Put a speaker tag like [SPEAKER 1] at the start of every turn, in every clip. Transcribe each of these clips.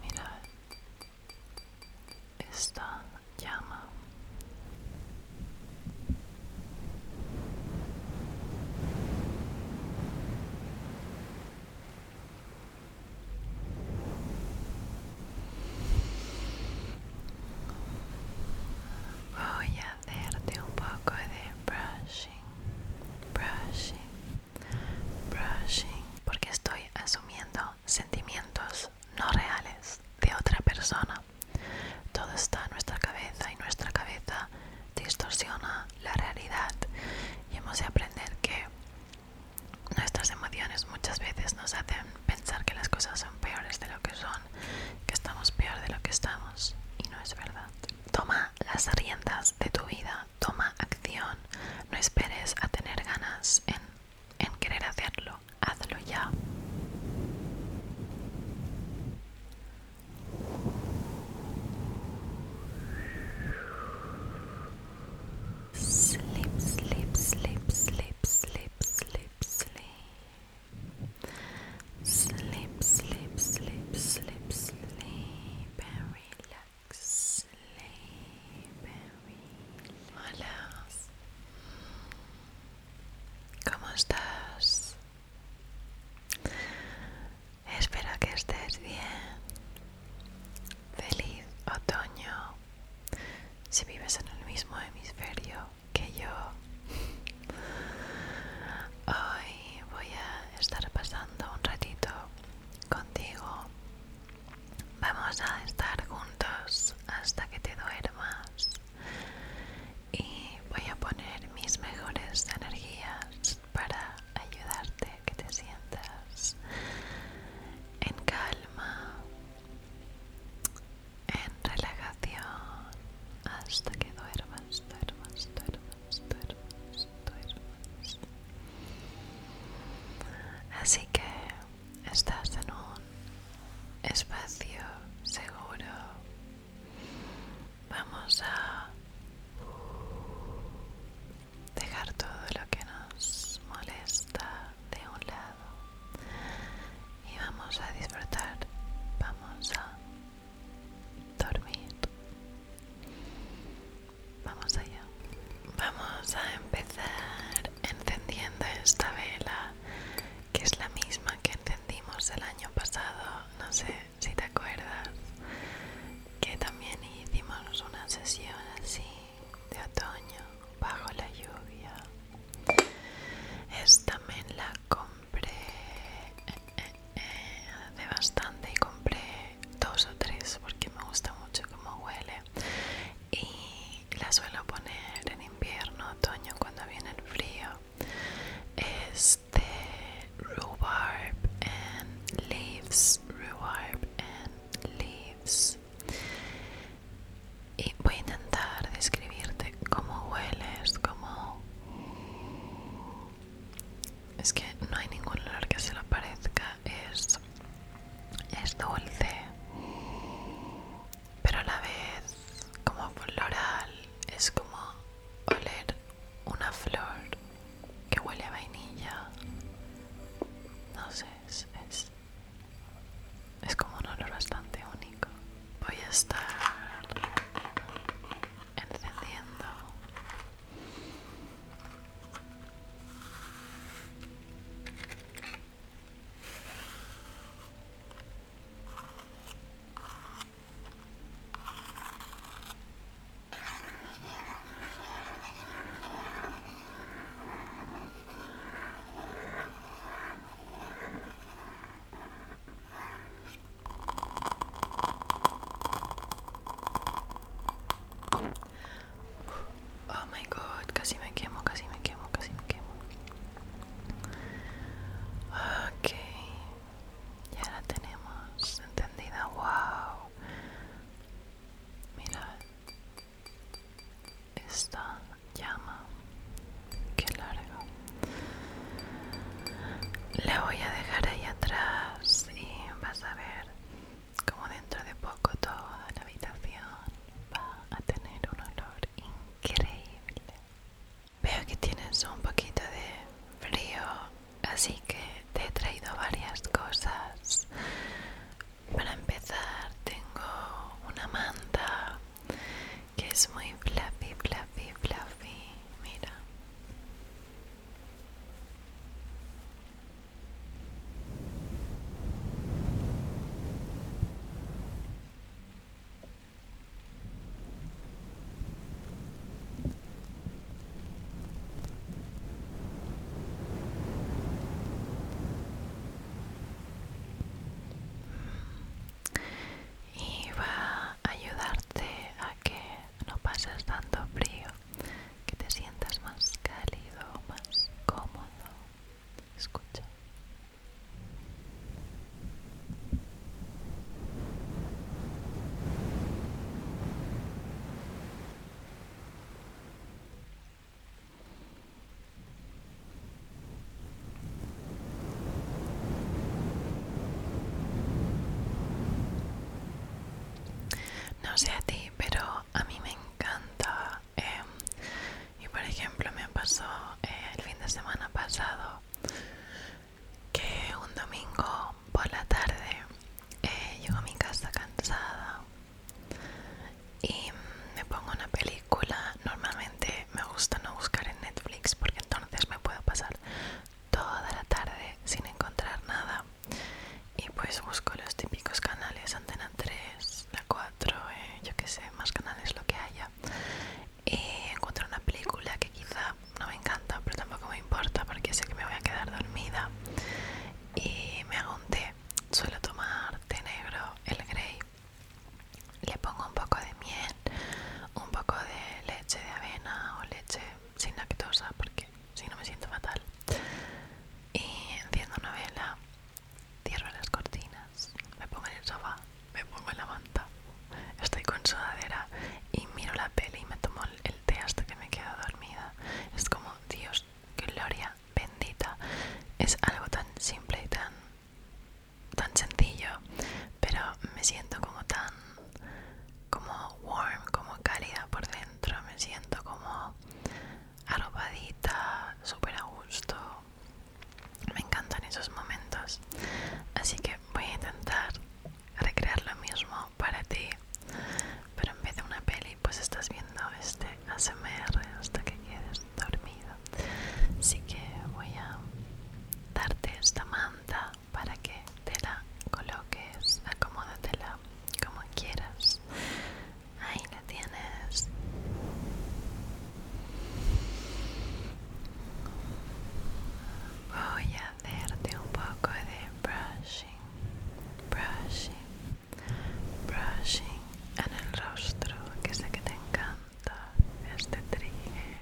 [SPEAKER 1] Mirar esta llama. Voy a hacerte un poco de brushing. brushing, brushing, porque estoy asumiendo sentimientos no reales de otra persona. Todo está en nuestra cabeza y nuestra cabeza distorsiona la realidad y hemos de aprender que nuestras emociones muchas veces nos hacen pensar que las cosas son peores de lo que son, que estamos peor de lo que estamos y no es verdad. Toma las riendas de tu vida, toma acción, no esperes a tener ganas en, querer hacerlo, hazlo ya. Sleep, sleep, sleep, sleep, sleep and relax. Sleep and relax. ¿Cómo estás? Espero que estés bien. Feliz otoño. Si vives en el mismo hemisferio que yo. Hoy voy a estar pasando un ratito contigo. Vamos a estar juntos hasta que te duermas y voy a poner mis mejores energías para ayudarte a que te sientas en calma, en relajación hasta que duermas, duermas, duermas. Así que estás en un espacio seguro. Vamos a dejar todo lo que nos molesta de un lado y vamos a disfrutar. Vamos a dormir. Vamos allá. Vamos a empezar encendiendo esta vela, que es la misma que encendimos el año pasado. No sé si te acuerdas que también hicimos una sesión así de otoño bajo la lluvia. Es también la com compré eh, eh, eh, bastante y compré dos o tres porque me gusta mucho cómo huele y la suelo poner en invierno, otoño cuando viene el frío es de rhubarb and leaves rhubarb and leaves y voy a intentar describirte cómo hueles, como... Es que no hay ningún olor que se lo parezca. Es, es dulce, pero a la vez como floral. Es como oler una flor que huele a vainilla. No sé, es, es como un olor bastante único. Voy a estar encendiendo Oh my god, casi me quemo, casi me quemo, casi me quemo. Ok, ya la tenemos entendida. Wow, mira esta llama, qué larga. La voy a dejar ahí atrás y vas a ver como dentro de poco toda la habitación va a tener un olor increíble. Veo que tienes un poquito de frío, así que te he traído varias cosas. Para empezar tengo una manta que es muy fluffy, fluffy, fluffy. Mira y va a ayudarte a que no pases tanto frío, que te sientas más cálido, más cómodo. Escucha. No sé a ti, pero a mí me encanta. Em, y por ejemplo, me pasó eh, el fin de semana pasado que un domingo por la tarde eh, llego a mi casa cansada y me pongo una película. Normalmente me gusta no buscar en Netflix porque entonces me puedo pasar toda la tarde sin encontrar nada y pues busco los típicos canales antena 3 la 4 eh, yo que sé más canales lo que haya y encuentro una película que quizá no me encanta pero tampoco me importa porque sé que me voy a quedar dormida y me hago un té suelo tomar té negro el grey le pongo un poco de miel un poco de leche de avena o leche sin lactosa porque si no me siento fatal y enciendo una vela cierro las cortinas me pongo en el sofá me pongo en la manta estoy con sudadera y miro la peli y me tomo el té hasta que me quedo dormida es como Dios gloria bendita es algo tan simple y tan tan sencillo, pero me siento como tan como warm, como cálida por dentro, me siento como arropadita, súper a gusto. Me encantan esos momentos. Así que voy a intentar recrear lo mismo para ti. Pero en vez de una peli, pues estás viendo este ASMR hasta que quedes dormido. Así que voy a darte esta manta para que te la coloques, acomódatela como quieras. Ahí la tienes. Voy a hacerte un poco de brushing, brushing, brushing en el rostro, que sé que te encanta este trigger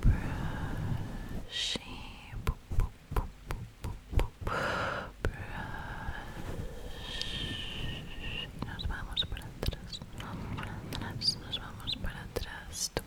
[SPEAKER 1] brushing, brush. Nos vamos para atrás, nos vamos para atrás. Brush,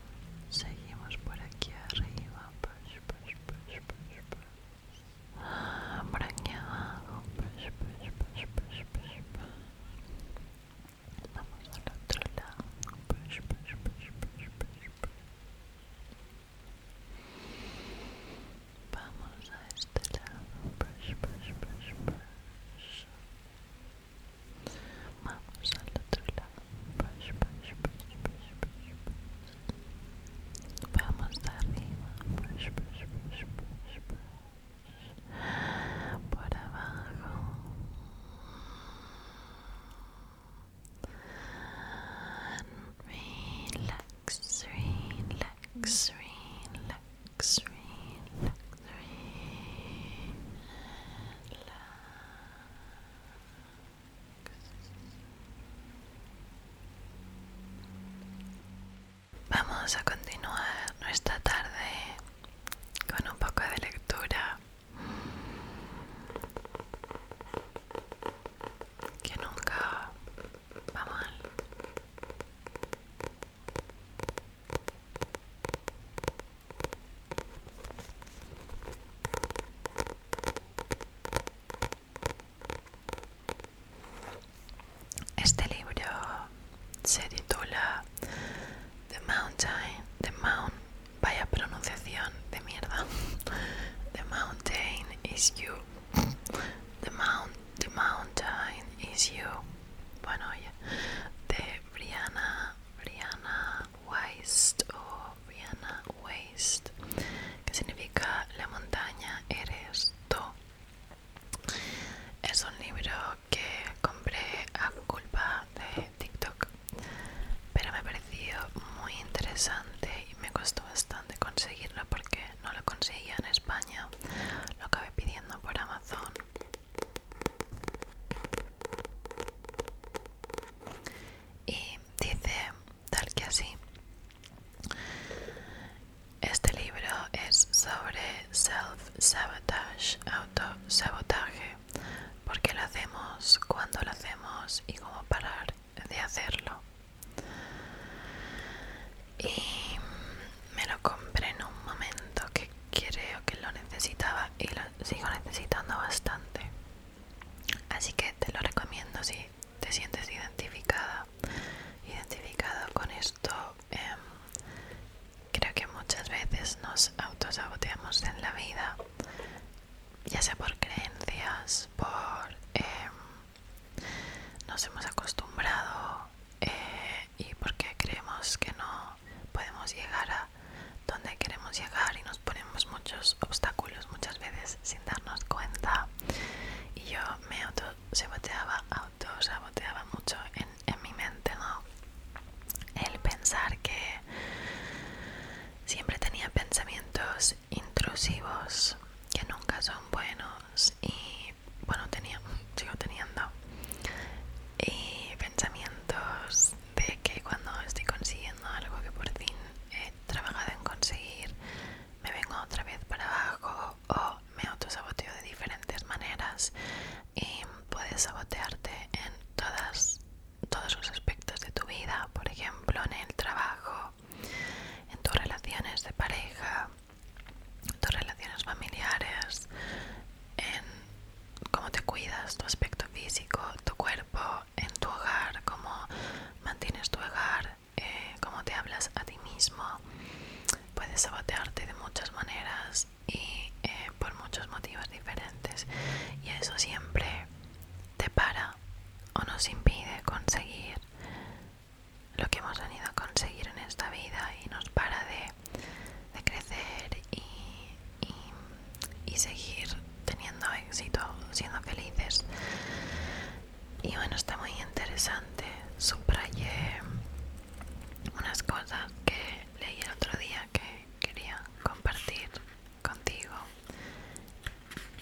[SPEAKER 1] Seguimos por aquí arriba, por aquí abajo, Vamos al otro lado, Vamos a este lado, Vamos al otro lado. Vamos arriba. Brush, Por abajo. And relax, relax, relax, relax, relax. Vamos a continuar nuestra tarde con un poco de lectura que nunca va mal. Este libro se titula The Mountain, The Mount, vaya pronunciación de mierda. The Mountain is You. The, mount, the Mountain is You. Bueno, oye, de Brianna, Brianna Waste o Waste, que significa La montaña eres tú. Es un libro que compré a culpa de TikTok, pero me pareció muy interesante y me costó bastante conseguirlo porque no lo conseguía en España. Lo acabé pidiendo por Amazon y dice tal que así. Este libro es sobre self-sabotage, auto autosabotaje, porque lo hacemos, cuando lo hacemos y cómo parar de hacerlo. Y me lo compré en un momento que creo que lo necesitaba y lo sigo necesitando bastante. Así que te lo recomiendo si te sientes identificada, identificado con esto. Em, creo que muchas veces nos autosaboteamos en la vida, ya sea por creencias, por... Em, nos hemos acostumbrado eh, y porque creemos que no podemos llegar a donde queremos llegar y nos ponemos muchos obstáculos muchas veces sin darnos cuenta. Y yo me auto saboteaba mucho en, mi mente, El pensar que siempre tenía pensamientos intrusivos que nunca son buenos y bueno, tenía, sigo teniendo. Y pensamientos de que cuando estoy consiguiendo algo que por fin he trabajado en conseguir, me vengo otra vez para abajo o me autosaboteo de diferentes maneras y puedes sabotearte en todas, todos los aspectos de tu vida, por ejemplo, en el trabajo, en tus relaciones de pareja, tus relaciones familiares, en cómo te cuidas, tu aspecto físico, tu cuerpo, en tu hogar, cómo mantienes tu hogar, eh, cómo te hablas a ti mismo. Puedes sabotearte de muchas maneras y eh, por muchos motivos diferentes. Y eso siempre te para o nos impide conseguir lo que hemos venido a conseguir en esta vida y nos para de de crecer y, y, seguir teniendo éxito, siendo felices. Y bueno, está muy interesante. Subrayé unas cosas que leí el otro día que quería compartir contigo.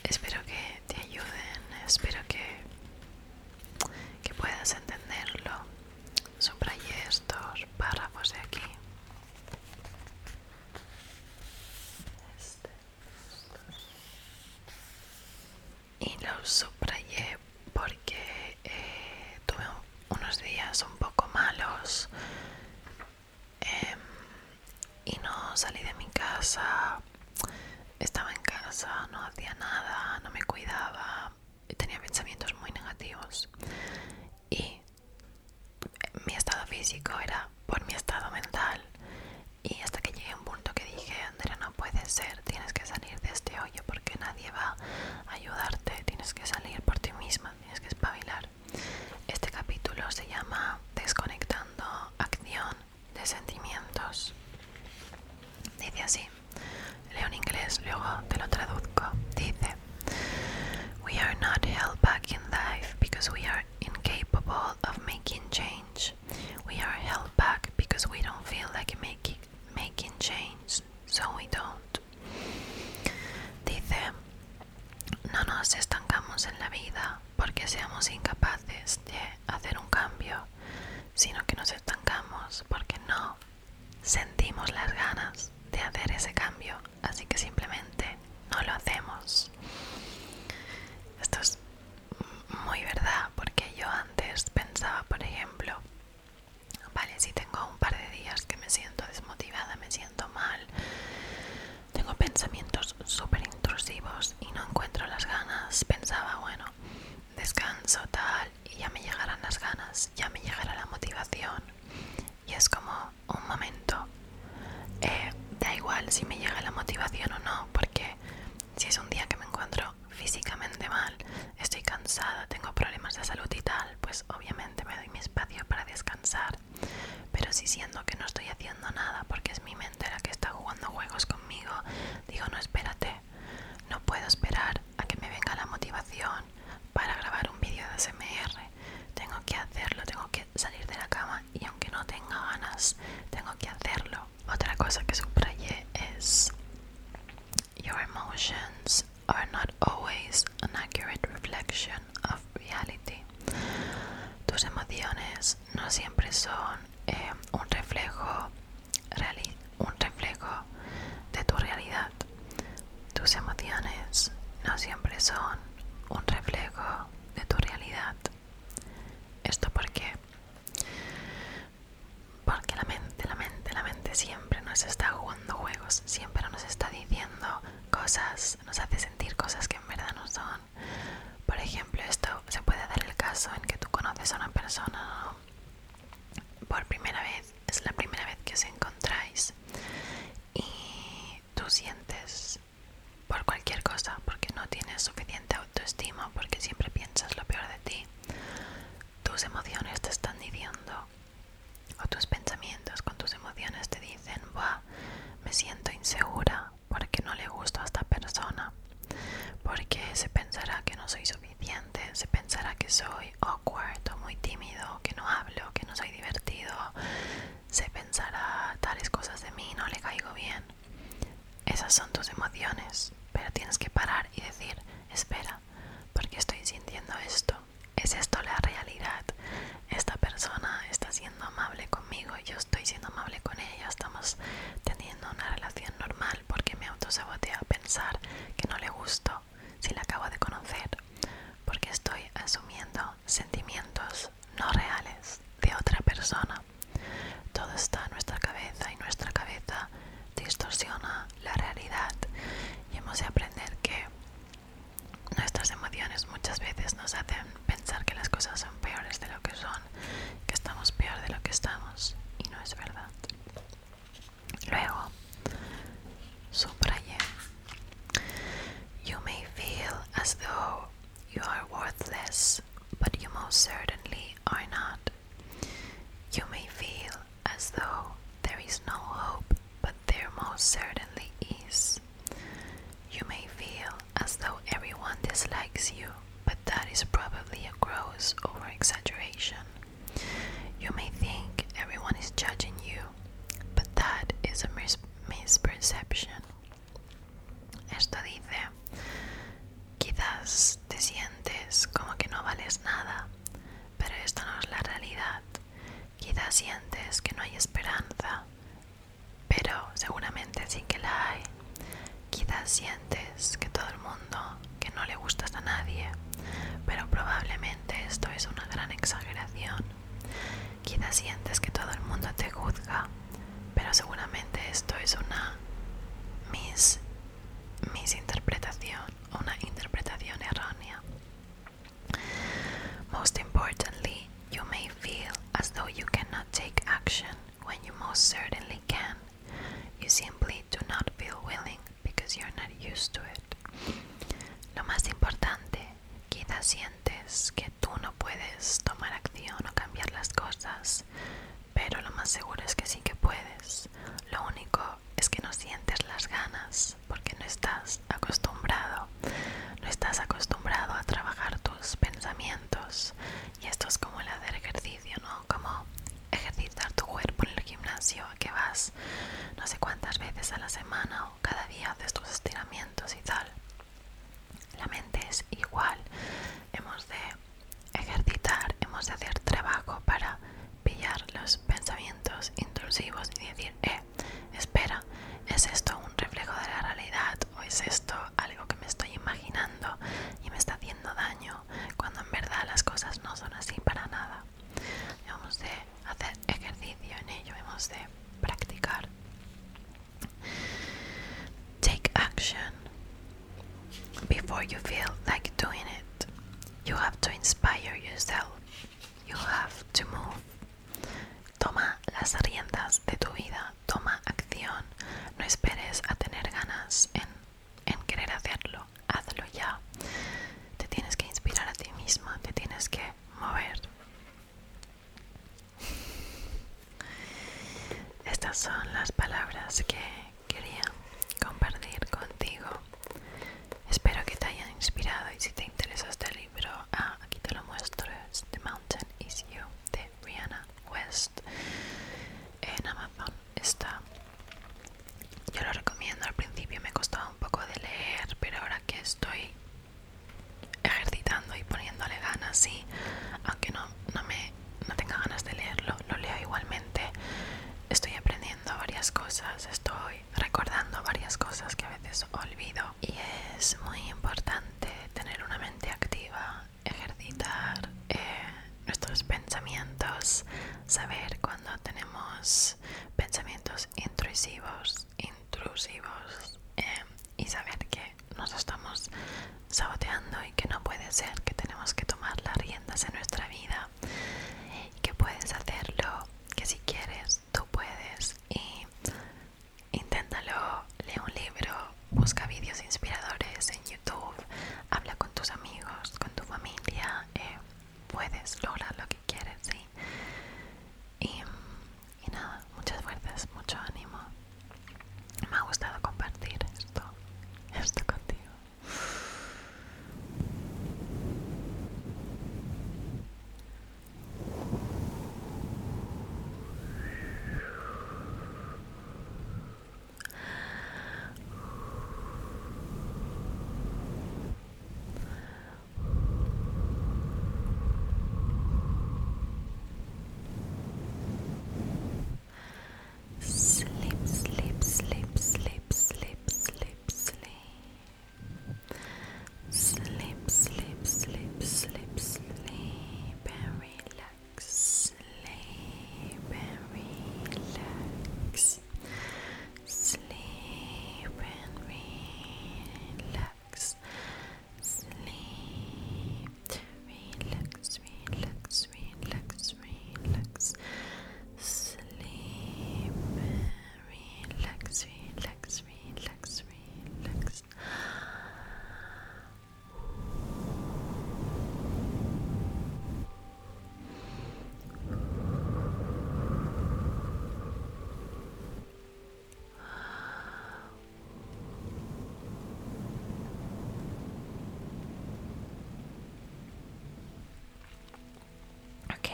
[SPEAKER 1] Espero que te ayuden, espero que, que puedas entenderlo Subrayé estos párrafos de aquí. Este, Y los subrayé porque eh, tuve unos días un poco malos em, y no salí de mi casa. Estaba en casa, no hacía nada, no me cuidaba tenía pensamientos muy negativos y mi estado físico era por mi estado mental y hasta que llegué a un punto que dije Andrea no puede ser, tienes que salir de este hoyo porque nadie va a ayudarte, tienes que salir por ti misma, tienes que espabilar. Este capítulo se llama Desconectando acción de sentimientos. Dice así, leo en inglés, luego te lo traduzco. Dice: We are not held back in life because we are incapable of making change. We are held back because we don't feel like making, making change, so we don't. Dice: No nos estancamos en la vida porque seamos incapaces de hacer un cambio, sino que nos estancamos porque no sentimos las ganas de hacer ese cambio, así que simplemente no lo hacemos. Esto es muy verdad, porque yo antes pensaba, por ejemplo, vale, si tengo un par de días que me siento desmotivada, me siento mal, tengo pensamientos súper intrusivos y no encuentro las ganas, pensaba, bueno, descanso tal y ya me llegarán las ganas, ya me llegará la motivación y es como un momento. Eh, da igual si me llega la motivación o no, porque si es un día que me encuentro físicamente mal, estoy cansada, tengo problemas de salud y tal, pues obviamente me doy mi espacio para descansar. Pero si siento que no estoy haciendo nada porque es mi mente la que está jugando juegos conmigo, digo no espérate, no puedo esperar a que me venga la motivación para grabar un vídeo de ASMR. Tengo que hacerlo, tengo que salir de la cama y aunque no tenga ganas, tengo que hacerlo. Otra cosa que subrayé es Your emotions are not always an accurate reflection of reality. Tus emociones no siempre son eh, un reflejo un reflejo de tu realidad tus emociones no siempre son un reflejo de tu realidad. ¿Esto porque, Porque la mente, la mente, la mente siempre nos está jugando juegos, siempre nos está diciendo cosas, nos hace sentir cosas que en verdad no son. Por ejemplo, esto se puede dar el caso en que tú conoces a una persona, por primera vez, es la primera vez que os encontráis y tú sientes por cualquier cosa, porque no tienes suficiente autoestima, porque siempre piensas lo peor de ti, tus emociones te están diciendo, o tus pensamientos con tus emociones te dicen, Buah, me siento insegura porque no le gusto a esta persona, porque se pensará que no soy suficiente, se pensará que soy, cuarto muy tímido, que no hablo, que no soy divertido, se pensará tales cosas de mí, no le caigo bien. Esas son tus emociones, pero tienes que parar y decir, espera, porque estoy sintiendo esto? ¿Es esto la realidad? Esta persona está siendo amable conmigo, y yo estoy siendo amable con ella, estamos teniendo una relación normal porque me a pensar que no le gusto si la acabo de conocer, porque estoy asumiendo sentimientos no reales de otra persona. Todo está en nuestra cabeza y nuestra cabeza distorsiona la realidad y hemos de aprender que nuestras emociones muchas veces nos hacen pensar que las cosas son peores de lo que son, que estamos peor de lo que estamos y no es verdad. Luego, subrayé. You may feel as though you are worthless, but you most certainly are not. You may feel as though there is no hope, but there most certainly is. You may feel as though everyone dislikes you, but that is probably a gross overexaggeration. You may think everyone is judging you, but that is a misperception. Esto dice, quizás te sientes como que no vales nada, pero esto no es la realidad. Quizás sientes que no hay esperanza, pero seguramente sí que la hay. Quizás sientes que todo el mundo que no le gustas a nadie, pero probablemente esto es una gran exageración. Quizás sientes que todo el mundo te juzga, pero seguramente esto es una mis, o una interpretación errónea. Most importantly, you may feel as though you cannot take action when you most certainly can. You simply do not feel willing not used to it. Lo más importante, quizás sientes que tú no puedes tomar acción o cambiar las cosas, pero lo más seguro es que sí que puedes. Lo único es que no sientes las ganas porque no estás acostumbrado. No estás acostumbrado a trabajar tus pensamientos. Y esto es como el hacer ejercicio, ¿no? Como ejercitar tu cuerpo en el gimnasio que vas no sé cuántas veces a la semana o cada día haces tus estiramientos y tal. La mente es igual. Hemos de ejercitar, hemos de hacer trabajo para pillar los pensamientos intrusivos y decir, eh, espera, ¿es esto un reflejo de la realidad o es esto algo que me estoy imaginando y me está haciendo daño cuando en verdad las cosas no son así para nada? vamos de hacer ejercicio en ello, hemos de practicar. Take action before you feel like doing it. You have to inspire yourself. You have to move. Toma las riendas de tu vida, toma acción. No esperes a tener ganas en en querer hacerlo, hazlo ya. Te tienes que inspirar a ti mismo, te tienes que mover. Estas son las palabras que quería compartir contigo. Espero que te hayan inspirado y si te interesa este libro, ah, aquí te lo muestro, es The Mountain Is You de Rihanna West en Amazon está. Yo lo recomiendo, al principio me costaba un poco de leer, pero ahora que estoy ejercitando y poniéndole ganas, sí, aunque no, tenga ganas de leerlo, lo leo igualmente. Estoy aprendiendo varias cosas, estoy recordando varias cosas que a veces olvido y es muy importante tener una mente activa, ejercitar eh, nuestros pensamientos, saber cuando tenemos pensamientos intrusivos, intrusivos em, y saber que nos estamos saboteando y que no puede ser, que tenemos que tomar las riendas en nuestra vida, que puedes hacerlo, que si quieres tú puedes y inténtalo, lee un libro, busca vídeos inspiradores en YouTube, habla con tus amigos, con tu familia. Em, puedes lograr lo que quieres, ¿sí? Y, nada, muchas fuerzas, mucho ánimo. Me ha gustado compartir esto, esto contigo. Sleep, sleep, sleep, sleep, sleep, sleep, sleep. Sleep, sleep, sleep, sleep, sleep, and relax. Sleep and relax. Sleep relax. Sleep. Relax, relax, relax, relax. Sleep. Relax, relax, relax, relax. Ok,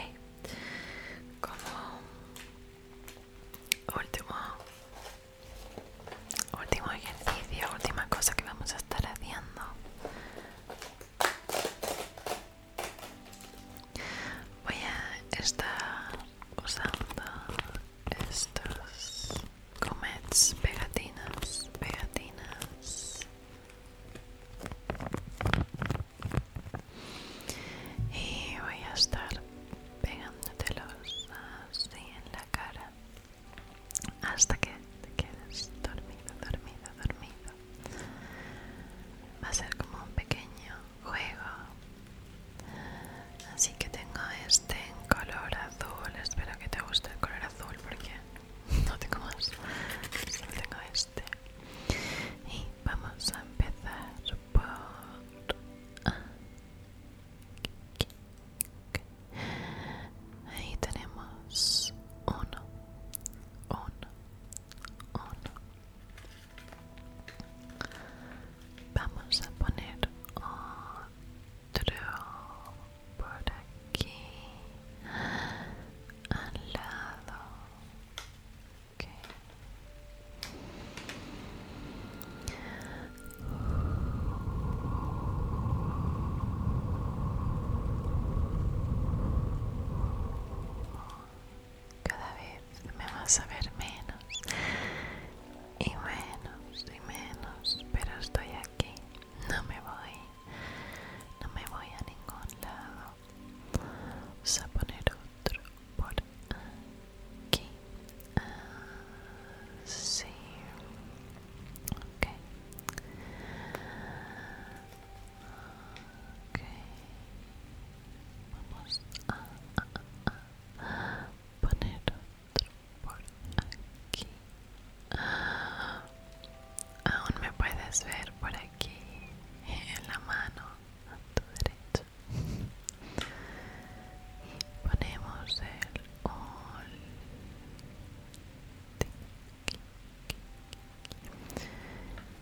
[SPEAKER 1] como último, último ejercicio, última cosa que vamos a estar haciendo Voy a estar usando estos comets, pegatinas, pegatinas. Y voy a estar pegándotelos así en la cara hasta que te quedes dormido, dormido, dormido. Va a ser como un pequeño juego. Así que tengo este en color azul. Espero que te guste el color azul porque no tengo más. Solo tengo este. Y vamos a empezar por... Ah. Ahí tenemos uno, uno, uno. Vamos a poner otro por aquí al lado. ok cada vez me vas a ver menos y menos y menos, pero estoy aquí, no me voy, no me voy a ningún lado. Vamos a poner otro por aquí. Así. Ah, Okay. Vamos a, poner otro por aquí. Aún me puedes ver por aquí en la mano a tu derecha. Y ponemos el último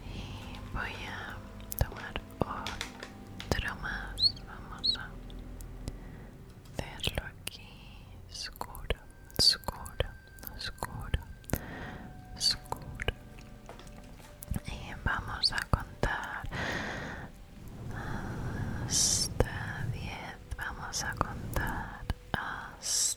[SPEAKER 1] y voy a tomar otro más vamos a hacerlo aquí oscuro oscuro oscuro oscuro y vamos a contar hasta 10 vamos a contar hasta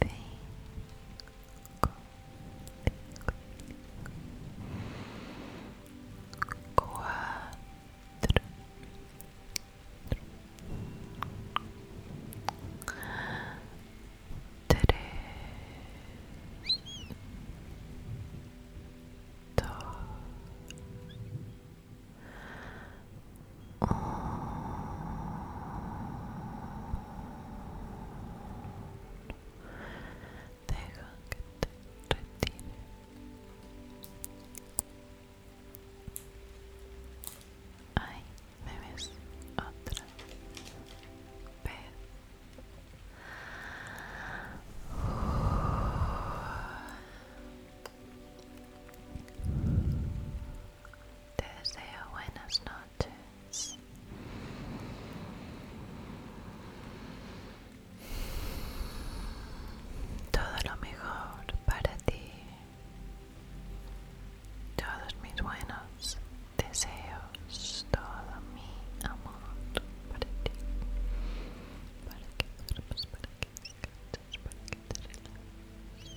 [SPEAKER 1] cinco, cuatro, tres, dos, uno deja que te retire ahí me ves otra vez te deseo buenas noches todo lo mejor para ti. Todos mis buenos deseos, todo mi amor para ti. Para que duermas, para que para que te relajes.